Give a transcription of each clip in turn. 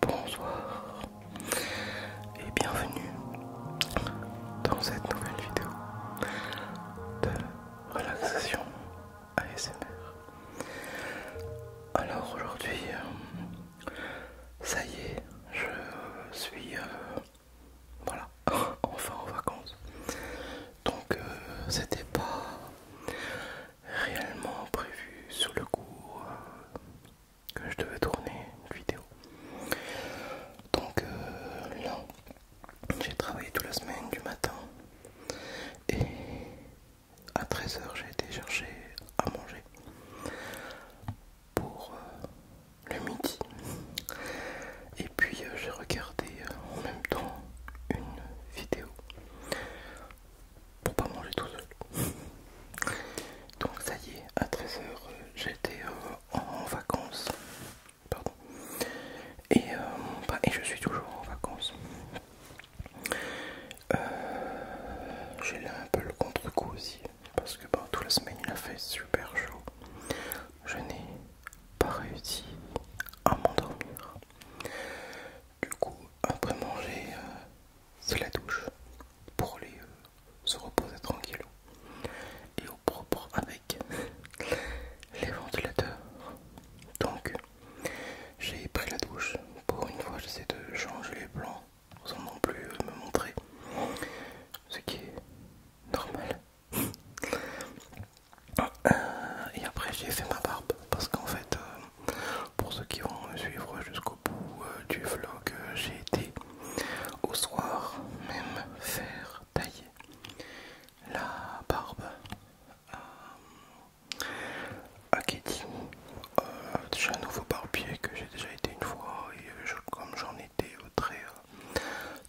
Bonsoir et bienvenue dans cette nouvelle vidéo de relaxation ASMR. Alors aujourd'hui, euh, ça y est, je suis euh, voilà enfin en vacances. Donc euh, c'était pas réellement prévu sur le coup que je devais tourner une vidéo. Donc non, euh, là, j'ai travaillé toute la semaine du matin et à 13h j'ai été chercher à manger pour euh, le midi. Et puis euh, j'ai regardé en même temps une vidéo pour pas manger tout seul. Donc ça y est, à 13h, euh, j'étais euh, en vacances. Pardon. Euh, et, je suis toujours en vacances. J'ai là un peu le contre-coup aussi. Parce que ben, toute la semaine il a fait super chaud. Je n'ai pas réussi à m'endormir. Du coup, après manger, c'est euh, la douche pour aller euh, se reposer tranquillement et au propre avec les ventilateurs. Donc, j'ai pris la douche. Pour une fois, j'essaie de changer les plans sans non plus euh, me montrer, ce qui est normal. et après, j'ai fait ma barbe parce qu'en fait, pour ceux qui vont me suivre jusqu'au bout euh, du vlog, euh, j'ai été au soir même faire tailler la barbe à, Katie. Euh, un nouveau barbier que j'ai déjà été une fois et comme j'en étais très,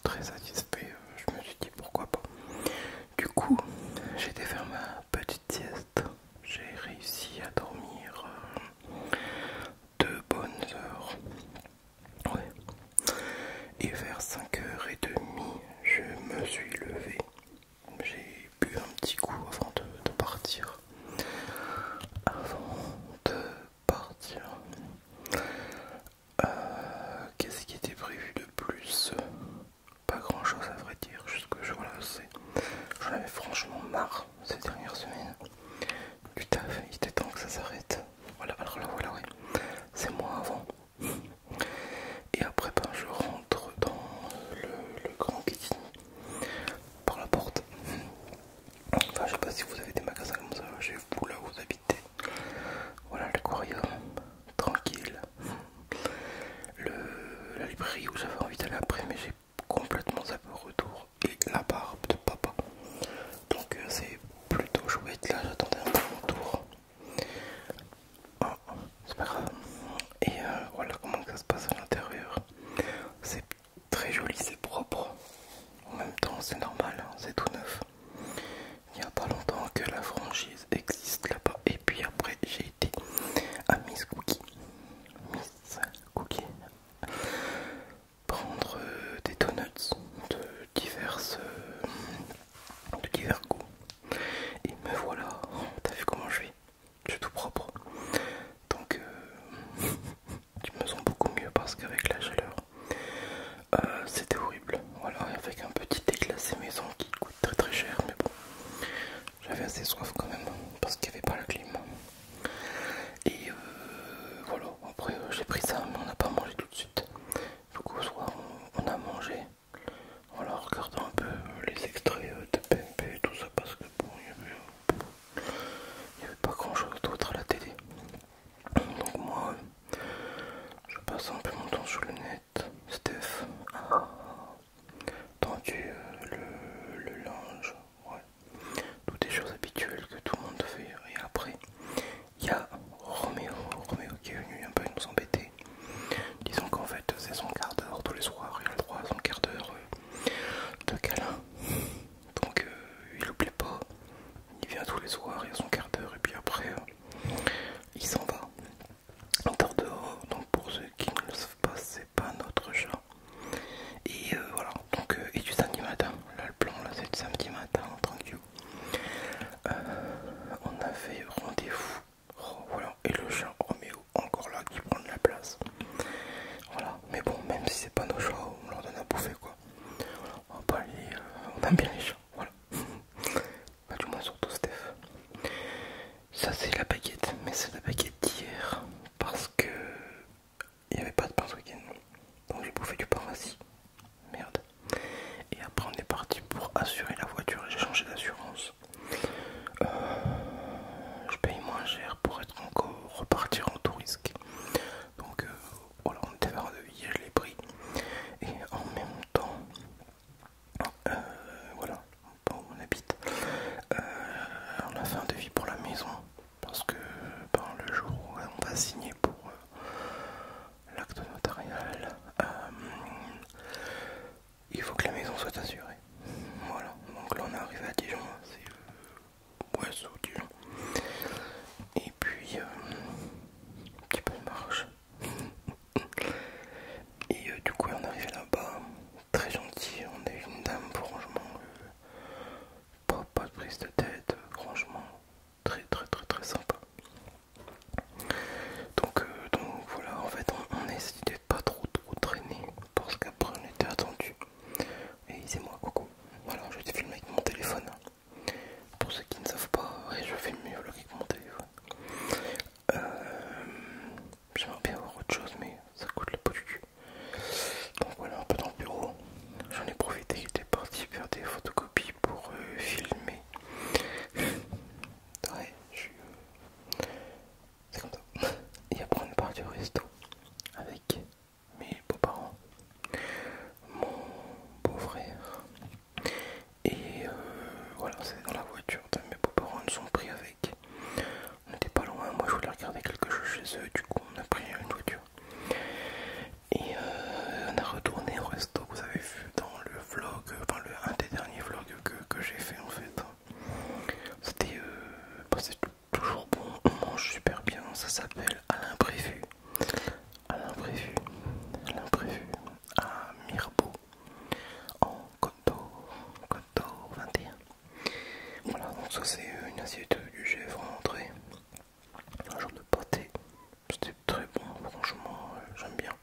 très satisfait, je me suis dit pourquoi pas. Du coup, j'ai été faire ma petite sieste j'ai réussi à dormir euh, deux bonnes heures. Et vers 5h30, je me suis levé. J'ai bu un petit coup avant de, partir. Avant de partir. Euh, qu'est-ce qui était prévu de plus pas grand chose à vrai dire, juste que je voilà, J'en avais franchement marre ces dernières semaines. Putain, il était temps que ça s'arrête. Voilà, alors voilà, oui. C'est moi avant. Et après ben, je rentre dans le, grand kit par la porte. Enfin je sais pas si vous avez des magasins comme ça chez vous là où vous habitez. Voilà l'aquarium, tranquille, la librairie où j'avais envie d'aller après, mais j'ai complètement zappé au retour. Et la barbe de papa. Donc euh, c'est plutôt chouette. Là, j'attendais un peu mon tour. Ah, c'est pas grave. Et euh, voilà comment ça se passe à l'intérieur. C'est très joli, c'est propre. En même temps, c'est normal, hein, c'est tout neuf. Il n'y a pas longtemps que la franchise existe là-bas. Et puis après, j'ai à Miss Cookie. Prendre euh, des donuts de diverses, euh, de divers goûts. Et me voilà. T'as vu comment je vais Je suis tout propre. Donc, euh, tu me sens beaucoup mieux parce qu'avec la chaleur, c'était horrible. Voilà, avec un petit thé maison qui très très cher mais bon j'avais assez soif quand même parce qu'il n'y avait pas la clim et euh, voilà après euh, j'ai pris ça mais on n'a pas mangé tout de suite au soir on, a mangé voilà regardant un peu les extraits euh, de PMP et tout ça parce que bon il n'y avait, avait pas grand chose d'autre à la télé donc moi je passe un peu mon temps sur le net Steph a tendu euh, le, linge, ouais. toutes les choses habituelles que tout le monde fait. Et après, il y a Roméo, Roméo qui est venu un peu nous embêter. Disons qu'en fait, c'est son quart d'heure tous les soirs, il a le droit à son quart d'heure euh, de câlin. Donc euh, il oublie pas, il vient tous les soirs, il a son quart d'heure et puis après il s'en va dehors. donc pour ceux qui ne le savent pas, c'est pas notre chat. Et euh, voilà, donc euh, et du samedi matin, là le plan là c'est du samedi matin, tranquille. Euh, on on avait rendez-vous, oh, et le chat Roméo encore là qui prend de la place. Voilà, mais bon, même si c'est pas nos chats, on leur donne à bouffer quoi. on, va pas on aime bien les chats, voilà. Bah, du moins surtout Steph. Ça c'est la baguette, mais c'est la baguette d'hier parce que il n'y avait pas de pain ce week-end. Donc j'ai bouffé du pain rassis. Merde. Et après on est parti pour assurer la voiture et j'ai changé d'assurance. Euh, je paye moins cher pour être encore repartir en tout risque. Donc euh, voilà, on était vers le devis, je l'ai Et en même temps, euh, voilà, on habite. on euh, a fait un devis pour la maison parce que par ben, le jour où euh, on va signer pour l'acte notarial, il faut que la maison soit assurée. Voilà, donc là on est arrivé à Dijon, c'est le bois Dijon. Et puis, un petit peu de marche. Et euh, du coup, on est arrivait là-bas, très gentil. On est une dame, franchement, euh, pas, de prise de tête, euh, franchement, très très très très sympa. Donc, donc voilà, en fait, on, essaie a pas trop trop traîner parce qu'après on était attendu. Et c'est moi, coucou. Voilà, je te filmer avec mon téléphone. Pour ceux qui ne savent pas, je fais mieux le mon monter. Euh, j'aimerais bien avoir autre chose, mais ça coûte la pot du cul. Donc voilà, un peu dans le bureau. J'en ai profité, j'étais parti faire des photocopies pour euh, filmer. Ouais, je euh, C'est comme ça. Et après, on part du resto avec mes beaux-parents, mon beau-frère et euh, voilà, c'est dans la voiture. Mes beaux-parents nous ont pris avec. On n'était pas loin. Moi, je voulais regarder quelque chose chez eux. Du coup, on a pris une voiture. Et euh, on a retourné au resto. Vous avez vu dans le vlog, enfin, un des derniers vlogs que, j'ai fait en fait. C'était euh, bah, toujours bon. On mange super bien. Ça s'appelle à l'imprévu à l'imprévu, l'imprévu à Mirbeau en Côte Cotto 21. Voilà, donc ça c'est euh, une assiette euh, du chef en entrée, un genre de pâté, c'était très bon, franchement euh, j'aime bien.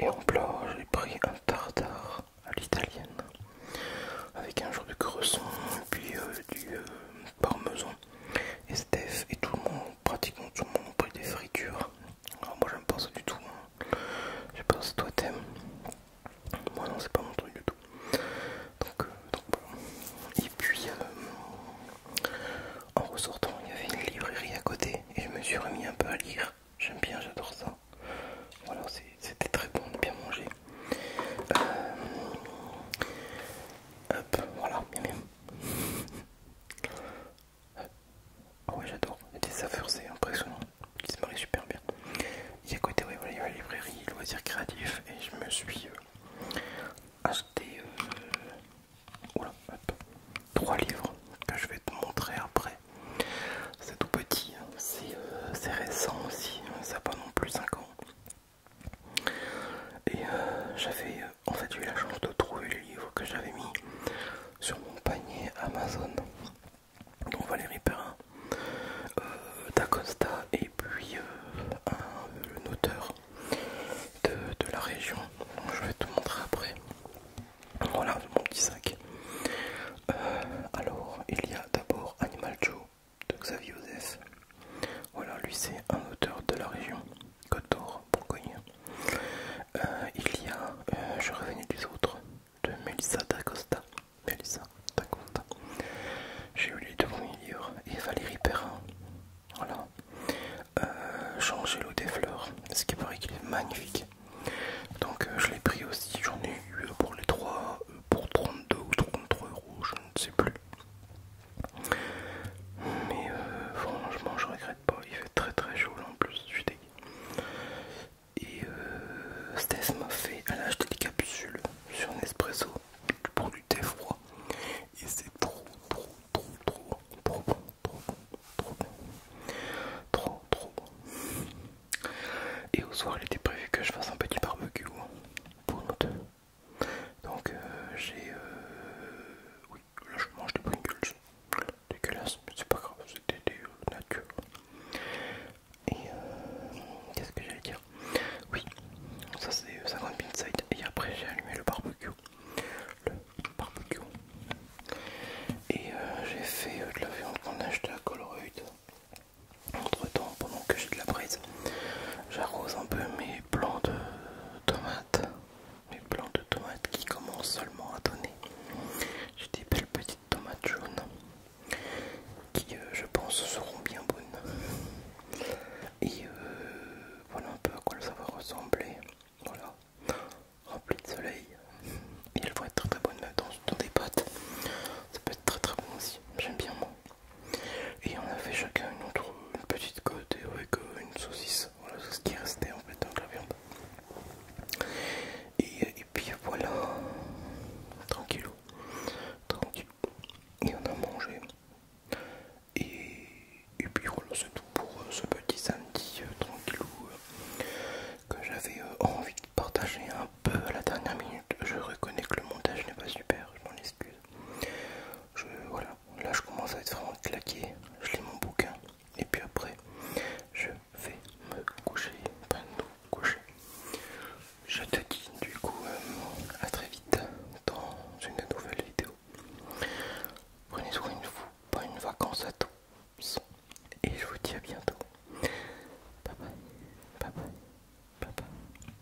Et en plat, j'ai pris un tartare à l'italienne avec un genre de cresson, puis du parmesan. Et Steph et tout le monde pratiquement tout le monde a pris des fritures. moi j'aime pas ça du tout. Hein. Je pense toi t'aimes. Moi non c'est pas mon truc du tout. Donc, euh, Et puis euh, en ressortant il y avait une librairie à côté et je me suis remis un peu à lire. J'aime bien, j'adore ça. Voilà, c'était très bon de bien manger. Euh, hop, voilà, bien ah ouais j'adore, des saveurs c'est impressionnant, Ils se marient super bien. Écoutez, côté voilà, il y a la librairie loisirs créatifs et je me suis euh, acheté euh, trois livres que je vais te montrer après. C'est tout petit, hein. euh, c'est récent aussi, hein. ça n'a pas non plus 5 ans. Et j'avais en fait j'ai eu la chance de trouver le livre que j'avais mis sur mon panier Amazon. Donc Valérie Perrin, euh, d'Acosta et puis euh, un, auteur de, la région. je vais te montrer après. Voilà mon petit sac. Euh, alors il y a d'abord Animal Joe de Xavier Joseph. Voilà, lui c'est un auteur de la région. Côte Bourgogne. Euh, il y a euh, Je revenais des autres de Melissa D'Acosta. Melissa D'Acosta. J'ai eu les deux premiers livres et Valérie Perrin. Voilà. Euh, jean des fleurs. Ce qui paraît qu'il est magnifique. Donc euh, je l'ai pris aussi. J'en ai eu pour les trois pour 32 ou 33 euros. Je ne sais plus. Mais euh, franchement, je regrette pas. Il fait très très chaud là en plus, je suis dégueu. Et euh, m'a fait à acheté des capsules sur un espresso pour du thé froid. Et c'est trop trop trop trop trop bon, trop bon, trop bon. Trop trop bon. Et au soir, il était prévu que je fasse un petit barbecue pour nous deux. Donc euh, j'ai... Euh, oui, là je mange des Pringles. Dégueulasse, mais c'est pas grave, c'était des euh, natures. Et qu'est-ce que j'allais dire Oui, ça c'est 50 Pinside. Et après j'ai allumé le barbecue. Le barbecue. Et j'ai fait de la viande qu'on a acheté à Colruyt. Entre temps, pendant que j'ai de la braise, j'arrose un peu mes plants de tomates mes plants de tomates qui commencent seulement à donner. J'ai des belles petites tomates jaunes qui, euh, je pense, seront bien bonnes. Et euh, voilà un peu à quoi ça va ressembler. Voilà, rempli de soleil. Et elles vont être très très bonnes dans, des pâtes. Ça peut être très très bon aussi. J'aime bien moi. Et on a fait chacun une autre petite côte avec euh, une saucisse, voilà ce qui restait en fait de la viande. Et, puis voilà, tranquillou, tranquille. Et on a mangé. Et, et puis voilà, c'est tout pour euh, ce petit samedi euh, tranquilo que j'avais envie de partager un peu à la dernière minute. Je reconnais que le montage n'est pas super, je m'en excuse. Je, Là, je commence à être vraiment claqué. Je lis mon bouquin. Et puis après, je vais me coucher. Je te dis du coup euh, à très vite dans une nouvelle vidéo. Prenez soin de vous. une vacances à tous. Et je vous dis à bientôt. Bye bye. Bye bye. Bye bye.